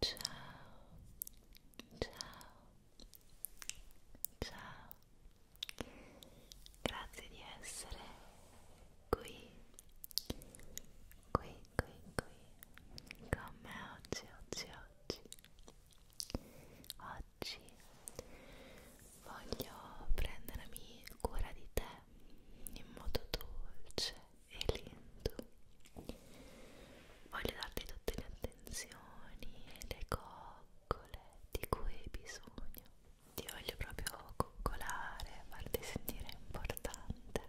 ciao ciao ciao grazie di essere qui qui qui qui con me oggi oggi oggi oggi voglio prendermi cura di te in modo dolce e lento voglio darti tutte le attenzioni e le coccole di cui hai bisogno ti voglio proprio coccolare farti sentire importante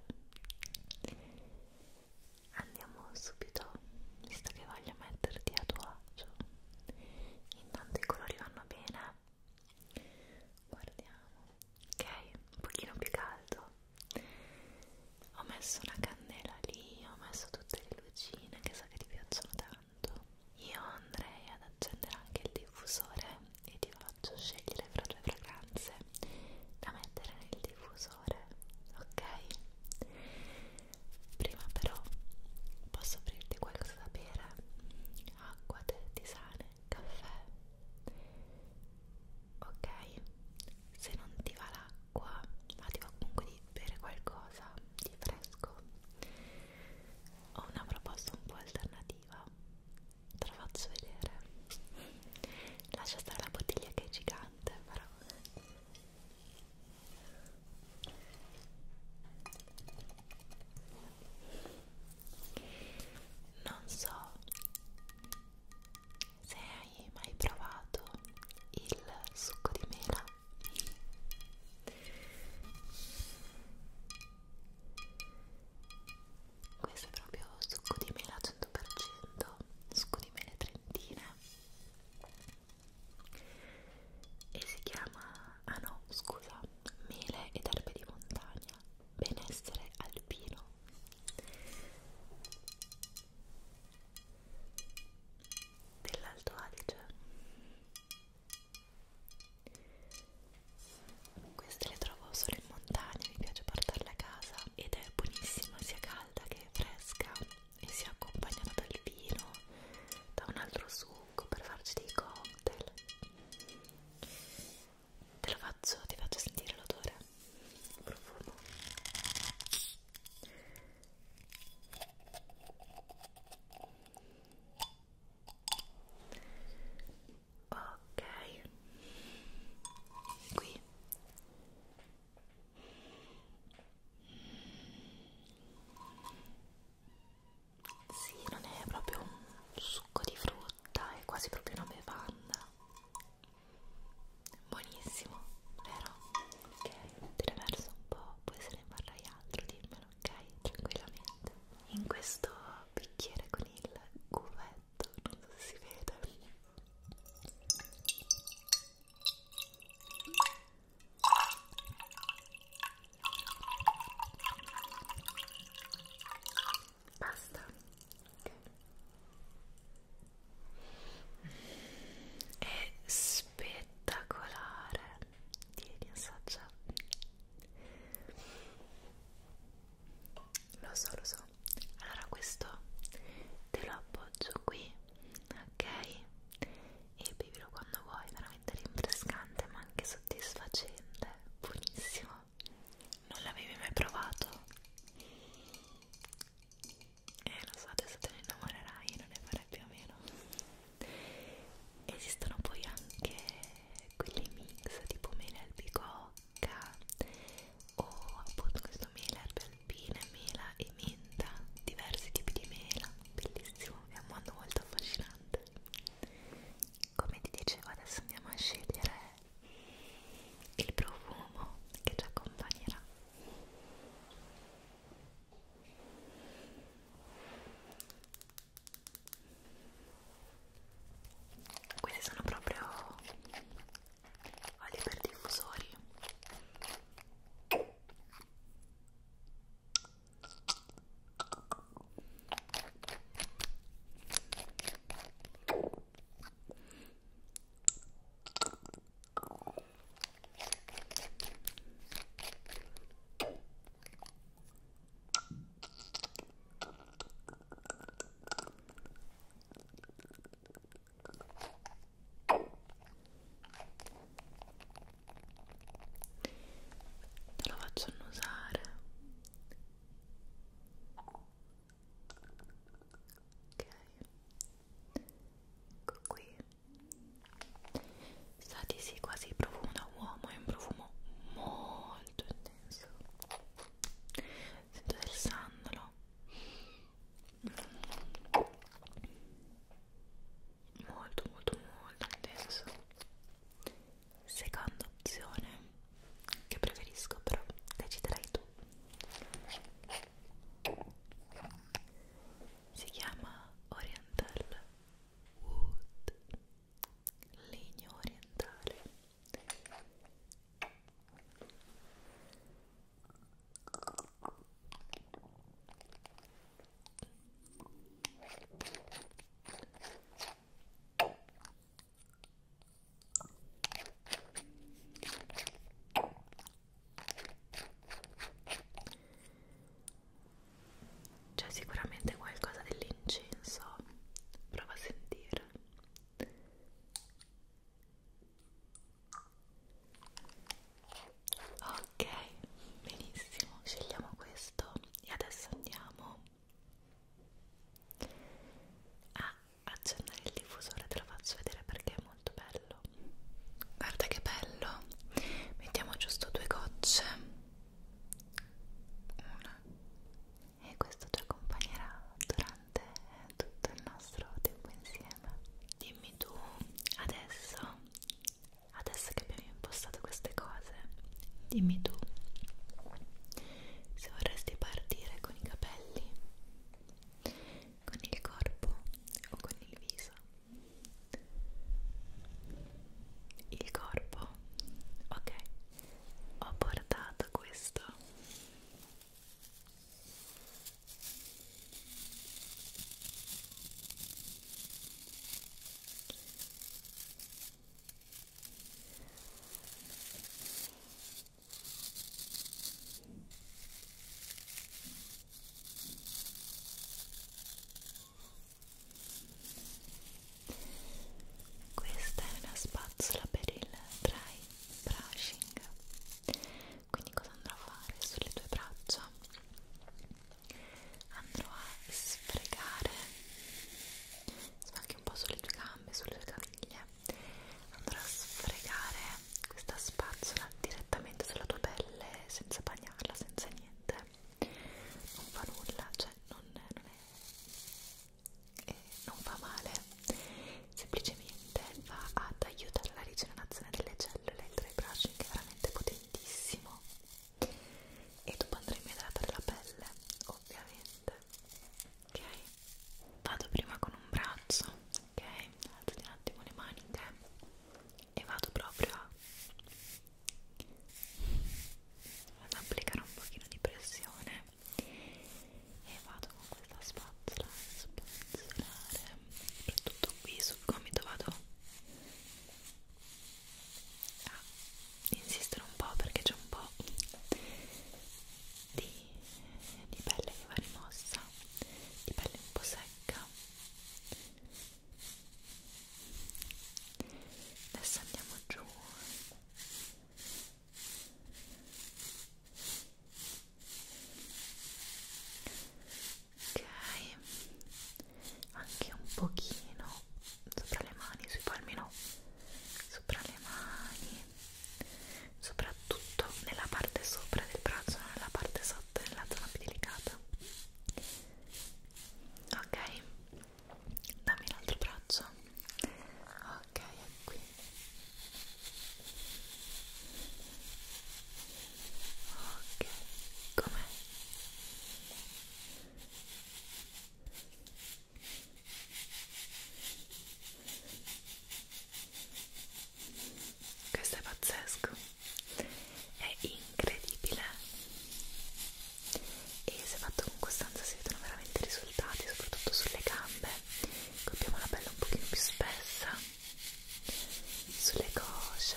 andiamo subito visto che voglio metterti a tuo agio intanto i colori vanno bene guardiamo ok un pochino più caldo ho messo una candela lì ho messo tutte le lucine che so che ti piacciono tanto io andrei ad accendere anche il diffusore e ti faccio scegliere fra due fragranze da mettere nel diffusore ok prima però posso offrirti qualcosa da bere acqua, tè, tisane caffè ok se non ti va l'acqua ma ti va comunque di bere qualcosa di fresco ho una proposta un po' alternativa te la faccio vedere lascia stare la bottiglia che è gigante però non so se hai mai provato il succo di mela questo è proprio succo di mela 100% succo di mele trentina e si chiama, ah no scusa, mele ed erbe di montagna benessere alpino dell'Alto Adige queste le trovo solo in montagna, mi piace portarle a casa ed è buonissima sia calda che fresca e si accompagnano dal vino, da un altro succo per farci dei cocktail Te lo faccio, ti faccio sentire l'odore, il profumo. Ok, qui sì, non è proprio un succo di frutta frutta, è quasi proprio una bevanda. Buonissimo, vero? Ok, te ne verso un po', poi se ne farai altro, dimmelo, ok? Tranquillamente. In questo bicchiere con il cuvetto, non so se si vede basta è spettacolare tieni assaggia lo so lo so allora questo te lo appoggio qui ok e bevilo quando vuoi veramente rinfrescante ma anche soddisfacente buonissimo non l'avevi mai provato e eh, lo so adesso te ne innamorerai non ne farai più a meno esistono poi anche quelli mix tipo mele albicocca o appunto questo mele erbe alpine mela e menta diversi tipi di mela bellissimo è un mondo molto affascinante come ti dicevo adesso andiamo a scegliere il profumo che ci accompagnerà questi sono proprio oli per diffusori Te lo faccio annusare ok ecco qui sa di sì quasi profumo da uomo è un profumo molto intenso sento del sandalo molto molto molto intenso seconda opzione che preferisco però deciderai tu si chiama Oriental Wood legno orientale c'è sicuramente qualcosa dell'incenso, prova a sentire. Ok, benissimo, scegliamo questo e adesso andiamo Ah, accendere il diffusore, te lo faccio vedere perché è molto bello. Guarda che bello. Mettiamo giusto due gocce. Una. E questo ci accompagnerà durante tutto il nostro tempo insieme. Dimmi tu adesso, adesso che abbiamo avevi impostato queste cose dimmi tu se vorresti partire con i capelli con il corpo o con il viso il corpo ok ho portato questo questa è una spazzola per il dry brushing. Quindi cosa andrò a fare sulle tue braccia? Andrò a sfregare anche un po' sulle tue gambe, sulle tue caviglie andrò a sfregare questa spazzola direttamente sulla tua pelle senza bagnarla, senza niente non fa nulla, cioè non, non è... Eh, non fa male semplicemente va ad aiutare la rigenerazione delle cellule il dry brushing è veramente potentissimo e dopo andremo a idratare la pelle ovviamente ok vado prima con un braccio ok alzo un attimo le maniche e vado proprio a vado ad applicare un pochino di pressione e vado con questa spazzola a spazzolare soprattutto qui sul gomito vado a ah, insistere un po' perché c'è un po' di, di pelle che va rimossa, di pelle un po' secca. Adesso andiamo giù. Ok, anche un pochino sopra le mani, sui palmi no, sopra le mani, soprattutto nella parte sopra del braccio, non nella parte sotto, nella zona più delicata. Ok, dammi l'altro braccio. Ok, è qui. Ok, com'è? questo è pazzesco è incredibile e se fatto con costanza si vedono veramente i risultati soprattutto sulle gambe abbiamo la pelle un pochino più spessa sulle cosce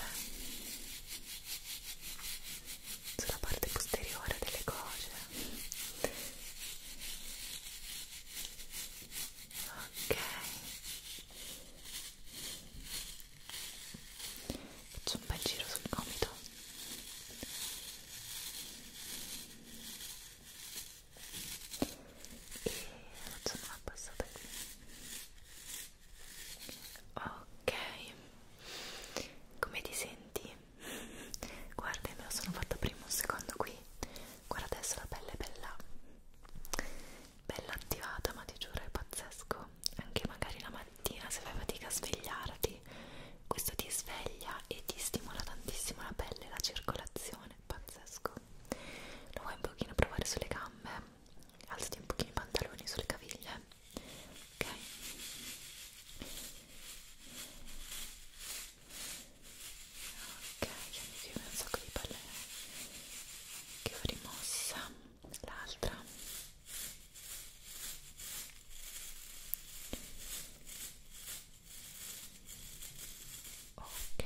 sulla parte posteriore delle cose ok faccio un bel giro sul gomito e faccio una passata qui ok come ti senti? Guarda, me lo sono fatta prima un secondo qui. Guarda adesso la pelle è bella, bella attivata, ma ti giuro è pazzesco. Anche magari la mattina se fai fatica a svegliarti, questo ti sveglia e ti stimola tantissimo la pelle, la circolazione, pazzesco. Lo vuoi un pochino provare sulle gambe? Alzati un pochino i pantaloni sulle caviglie bene ok ok cioè mi viene un sacco di palle che ho rimossa l'altra ok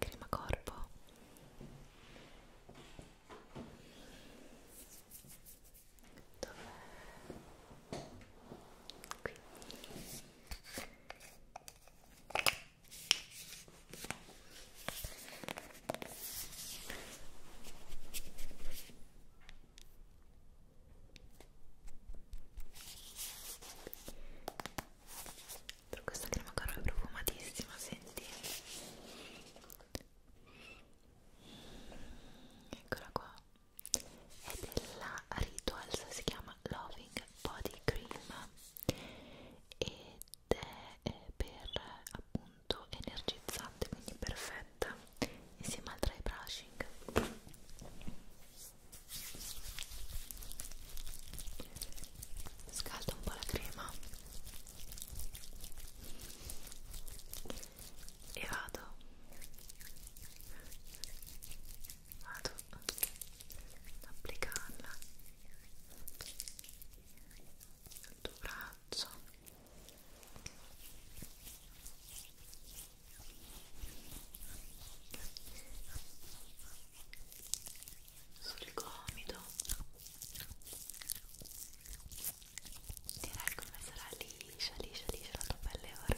crema corpo Dov'è? Qui. Però questa crema caro è profumatissima, senti eccola qua è della Rituals si chiama Loving Body Cream ed è eh, per appunto energizzante quindi perfetta insieme al dry brushing scalda un po' la crema e vado vado ad applicarla sul tuo braccio sul gomito direi come sarà liscia, liscia, liscia la tua pelle ora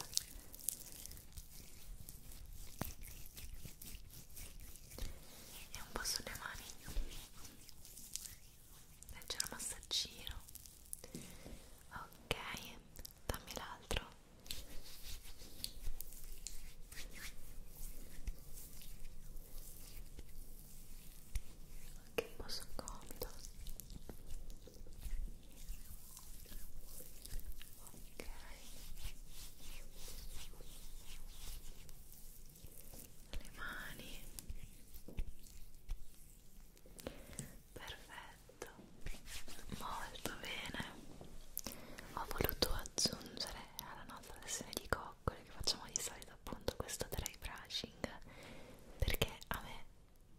e un po' sulle mani leggero massaggino ok dammi l'altro ok anche un po' scomodo ok le mani perfetto molto bene ho voluto aggiungere alla nostra versione di cover coccole che facciamo di solito appunto questo dry brushing perché a me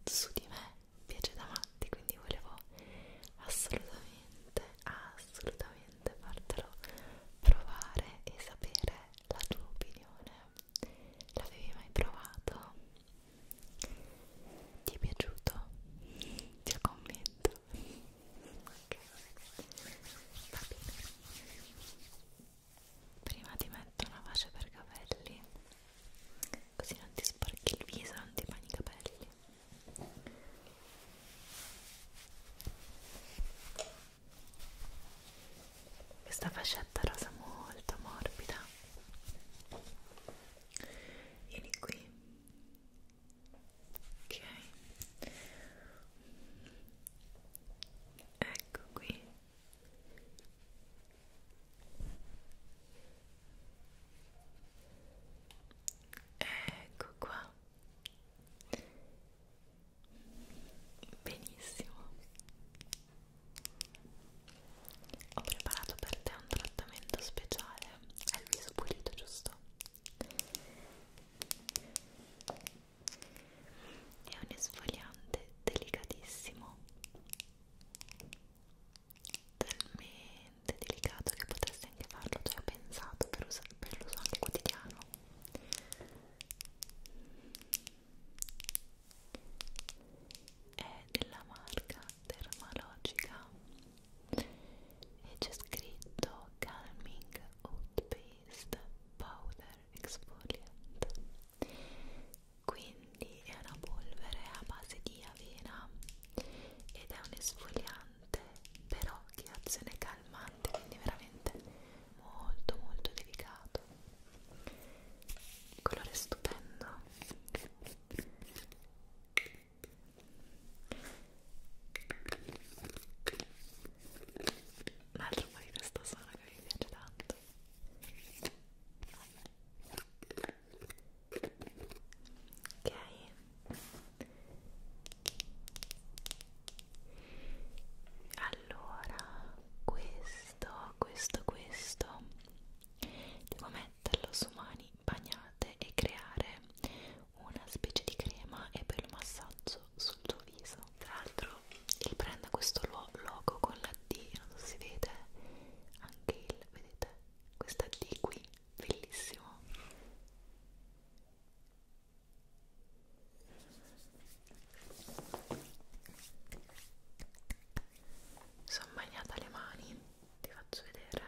su di me piace da matti quindi volevo assolutamente assolutamente fartelo provare e sapere la tua opinione l'avevi mai provato? ti è piaciuto? ti ho commento ok va bene prima ti metto una fascia per capelli così non ti sporchi il viso non ti bagni i capelli questa fascetta rosa molto morbida vieni qui ok ecco qui ecco qua benissimo ho preparato per te un trattamento speciale è il viso pulito giusto è un esfoliante delicatissimo talmente delicato che potresti anche farlo cioè ho pensato per, us per l'uso anche quotidiano è della marca Dermalogica e c'è scritto Calming Oat Paste Powder esfoliante quindi è una polvere a base di avena ed è un esfoliante però che ha azione calmante quindi veramente molto molto delicato colore stupendo un altro po' di questo suono che mi piace tanto ok allora questo questo questo devo metterlo su mani bagnate e creare una specie di crema e per il massaggio rosso sul tuo viso tra l'altro il brand ha questo logo con la D non so se si vede anche il vedete questa D qui bellissimo sono bagnata le mani ti faccio vedere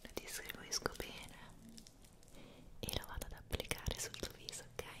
lo distribuisco bene e lo vado ad applicare sul tuo viso, ok?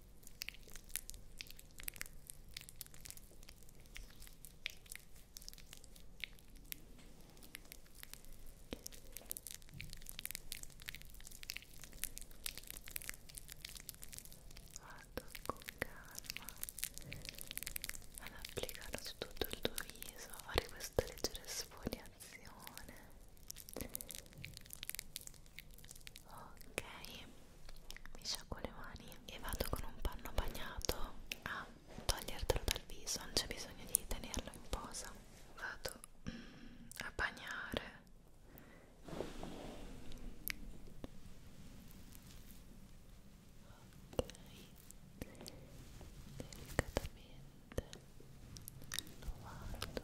Vado con calma ad applicare su tutto il tuo viso, a fare questa leggera sfoliazione ok mi sciacquo le mani e vado con un panno bagnato a togliertelo dal viso non c'è bisogno di tenerlo in posa vado mm, a bagnare ok delicatamente lo vado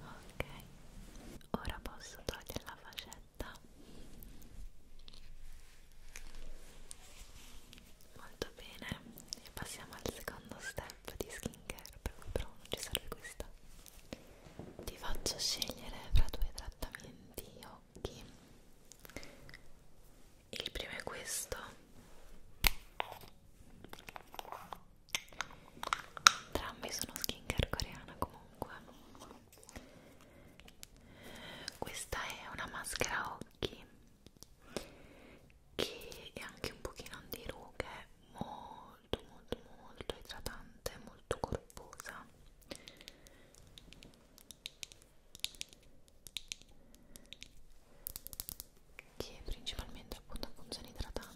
Ok, ora posso togliere la facetta. Molto bene, e passiamo al secondo step app di skincare per cui però non ci serve questa ti faccio scegliere fra due trattamenti occhi il primo è questo entrambi sono skincare coreana comunque questa è una maschera occhi che è anche un pochino di rughe molto molto molto idratante molto corposa che principalmente appunto funziona idratante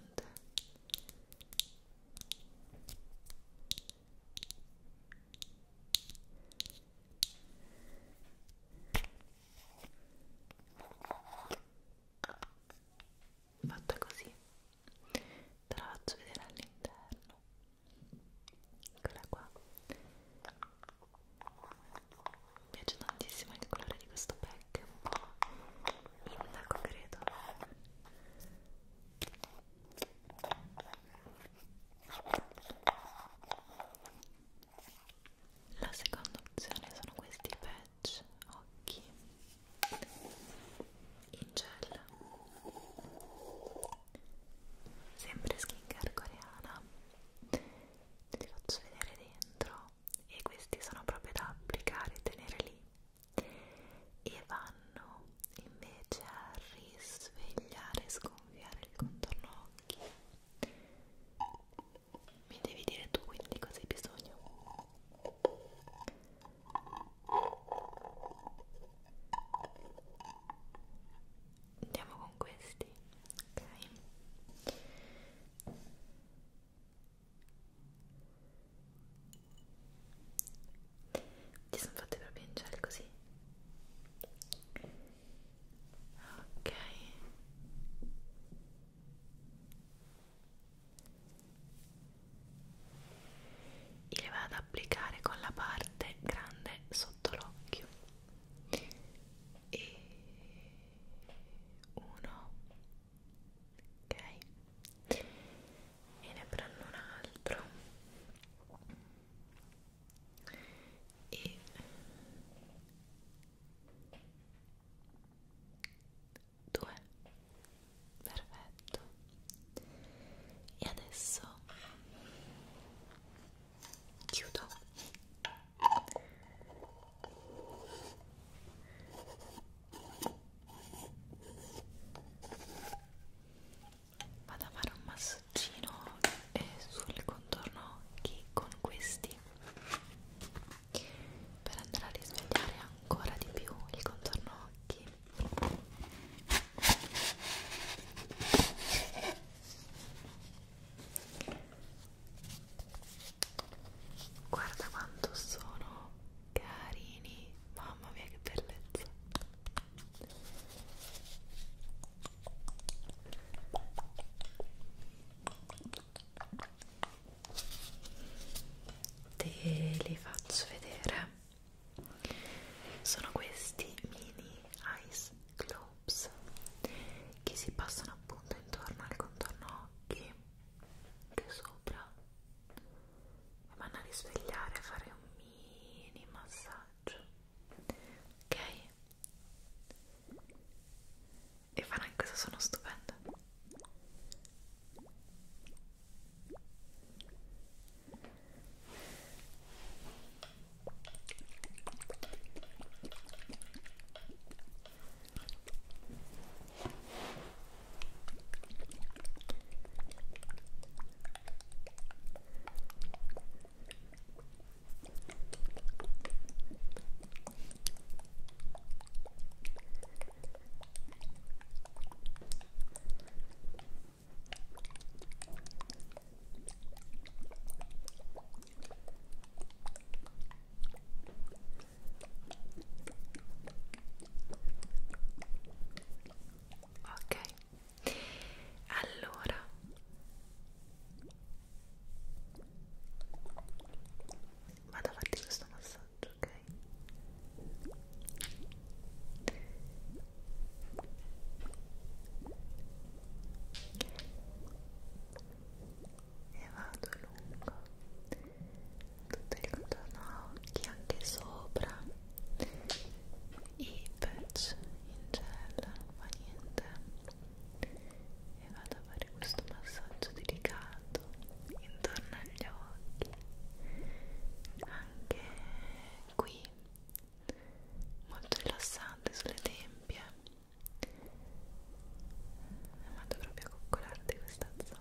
fatta così te la faccio vedere all'interno eccola qua mi piace tantissimo il colore di questo pack è un po' indaco credo la seconda opzione sono questi pezzi patch occhi in gel sempre skincare coreana te li faccio vedere dentro e questi sono proprio da applicare e tenere lì e vanno invece a risvegliare e sconfiare il contorno occhi mi devi dire tu quindi cosa hai bisogno andiamo con questi ok ti sono fatte proprio in gel così ok e le vado ad applicare con la parte grande sotto l'occhio e uno ok e ne prendo un altro e due perfetto e adesso chiudo vado a fare un massaggino eh, sul contorno occhi con questi per andare a risvegliare ancora di più il contorno occhi guarda quanto sono carini mamma mia che bellezza te li faccio vedere sono questi mini ice globes che si passano appunto intorno al contorno occhi che sopra e vanno a risvegliare a fare un mini massaggio ok e farà in questo sono stupendo Ok, allora Vado a farti questo massaggio, ok? E vado lungo tutto il contorno occhi, anche sopra i patch in gel, non fa niente e vado a fare questo massaggio delicato intorno agli occhi anche qui molto rilassante sulle tempie e vado proprio a coccolarti questa zona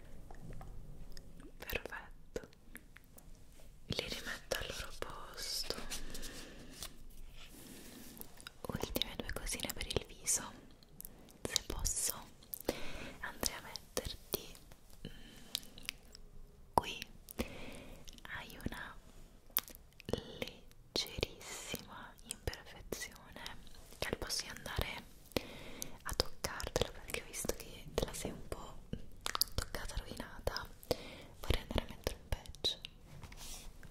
perfetto li rimetto al loro posto ultime due cosine per il viso se posso andrei a metterti mm, qui hai una leggerissima imperfezione che al posto di andare a toccartelo perché ho visto che te la sei un po' toccata, rovinata vorrei andare a mettere un patch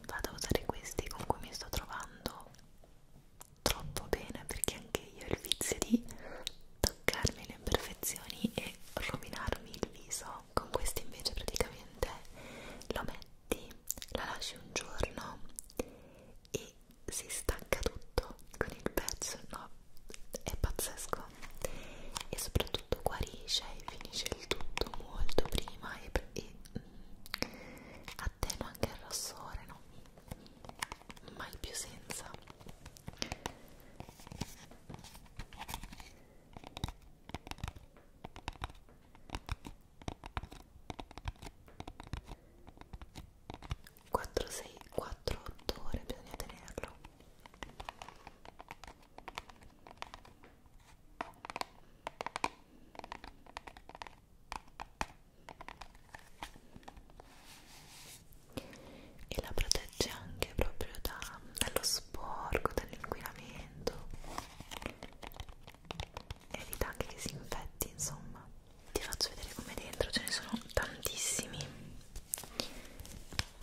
vado a usare questi con cui mi sto trovando troppo bene perché anche io ho il vizio di toccarmi le imperfezioni e rovinarmi il viso con questi invece praticamente lo metti, la lasci un giorno e si stacca tutto con il pezzo, no? È pazzesco e soprattutto guarisce e finisce il tutto molto prima e, e mm, attenua anche il rossore, no? Mai più senza. 4, 6, 4, 8 ore bisogna tenerlo e la protegge anche proprio da, dallo sporco, dall'inquinamento evita anche che si infetti insomma ti faccio vedere come dentro ce ne sono tantissimi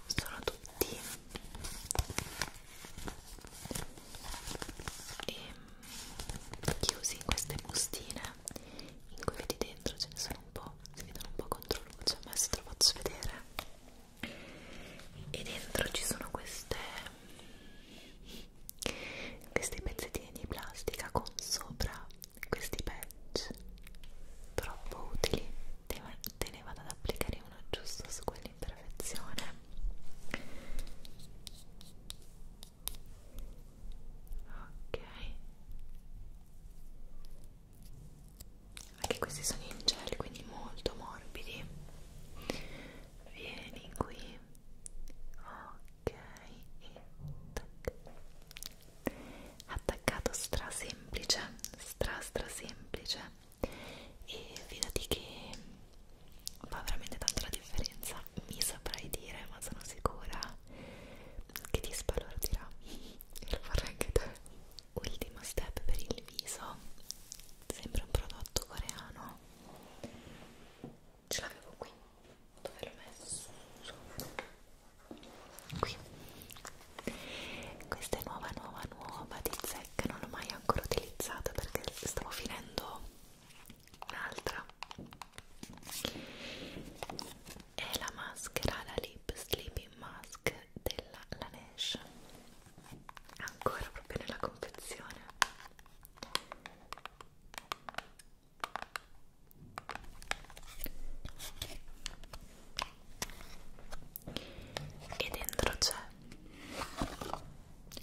sono tutti e chiusi in queste bustine in cui vedi dentro ce ne sono un po' si vedono un po' contro luce ma adesso te lo faccio vedere e dentro ci sono queste questi pezzettini di plastica con sopra questi patch troppo utili te, te ne vado ad applicare uno giusto su quell'imperfezione ok anche questi sono in gel quindi molto morbidi vieni qui ok e tac. attaccato stra semplice stra stra semplice e fidati che fa veramente tanto la differenza mi saprai dire ma sono sicura che ti spalordirà e lo vorrei anche te ultimo step per il viso sempre un prodotto coreano ce l'avevo qui dove l'ho messo qui questa è nuova nuova nuova di zecca non l'ho mai ancora utilizzata perché stavo finendo un'altra è la maschera la lip sleeping mask della Laneige ancora proprio nella confezione e dentro c'è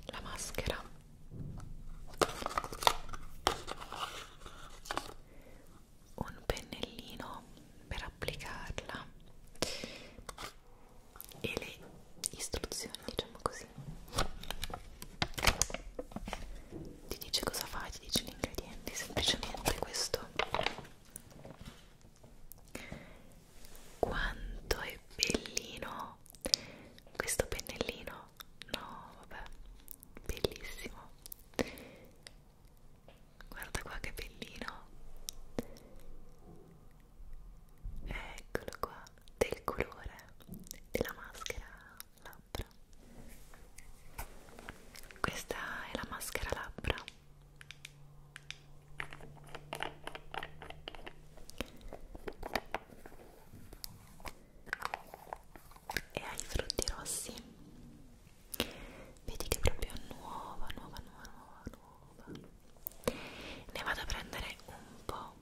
la maschera un pennellino per applicarla e le istruzioni facciamo così ti dice cosa fai, ti dice gli ingredienti semplicemente questo quanto è bellino questo pennellino no vabbè bellissimo guarda qua che bellino eccolo qua del colore della maschera labbra questa è la maschera labbra e ha i frutti rossi vedi che è proprio nuova nuova nuova nuova nuova ne vado a prendere un po'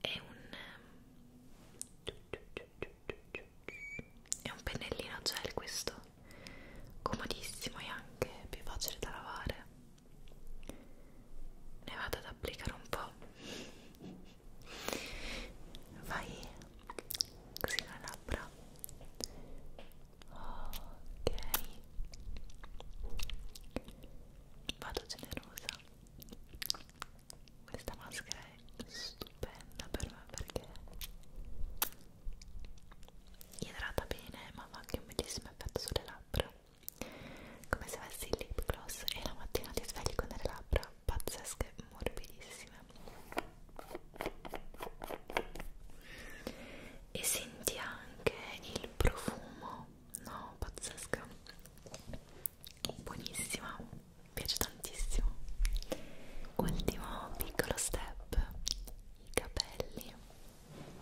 è un è un pennellino gel questo comodissimo e anche più facile da lavare ne vado ad applicare un po' vai così le labbra ok vado generosa questa maschera è stupenda per me perché idrata bene ma fa anche un bellissimo effetto sulle labbra come se avessi il lip gloss e la mattina ti svegli con delle labbra pazzesche morbidissime e senti anche il profumo no pazzesca buonissima mi piace tantissimo ultimo piccolo step i capelli Ecco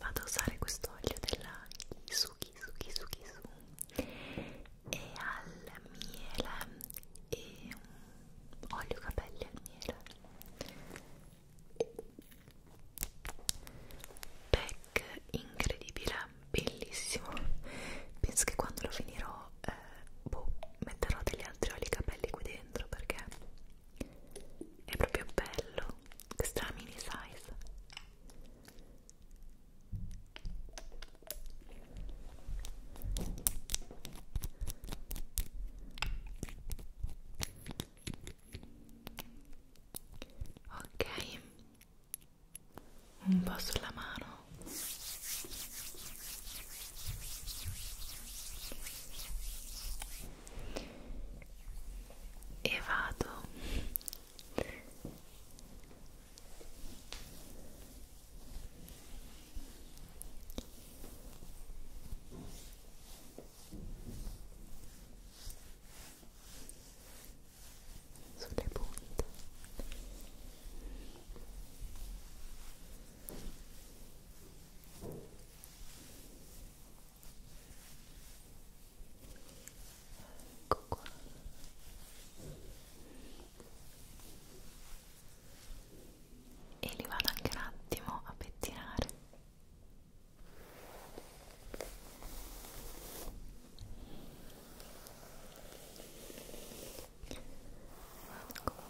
vado a usare questo olio della Kisu Kisu Kisu Kisu e al miele e un olio capelli al miele pack incredibile bellissimo penso che quando lo finirò eh, boh, metterò degli altri oli capelli qui dentro perché è proprio bello questa è la mini size ok un po' sulla mano e vado sulle punte e Ecco qua. E li vado anche un attimo a pettinare. Vado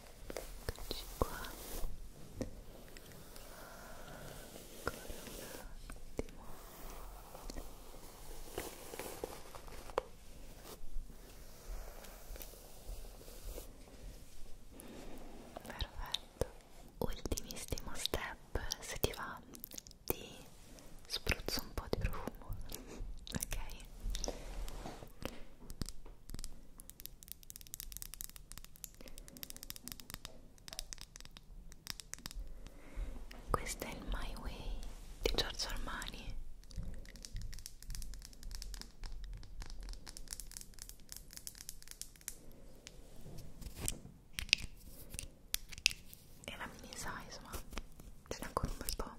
Eccoci qua. Ancora un attimo. Perfetto. Ultimissimo step, se ti va, ti spruzzo un po' di profumo. ok? Questo è il My Way di Giorgio Armani. E la mini size, ma ce n'è ancora un bel po'.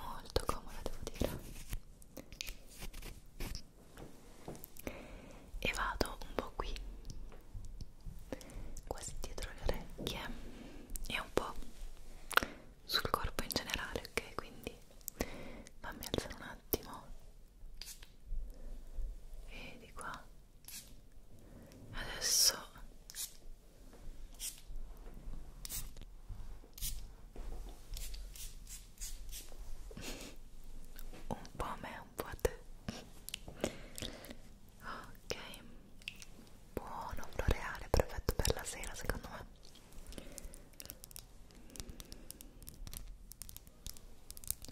Molto comoda, devo dire e vado un po' qui quasi dietro le orecchie e un po' sul corpo in generale ok quindi fammi alzare un attimo e di qua adesso un po' a me, un po' a te ok buono, floreale, perfetto per la sera secondo me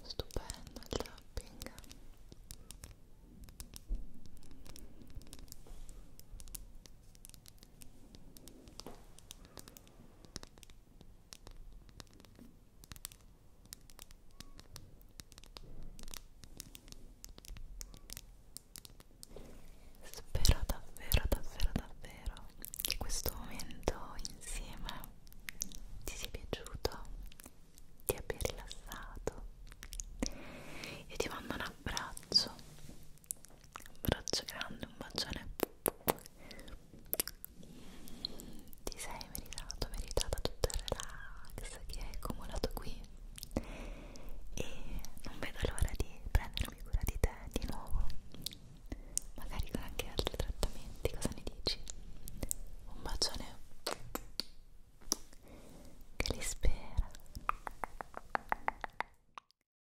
stupendo il tapping Spero davvero, davvero, davvero che questo momento insieme ti sia piaciuto, ti abbia rilassato. Io ti mando un abbraccio abbraccio grande, un bacione ti sei meritato, meritata tutto il relax che hai accumulato qui e non vedo l'ora di prendermi cura di te di nuovo magari con anche altri trattamenti, cosa ne dici? un bacione che li spera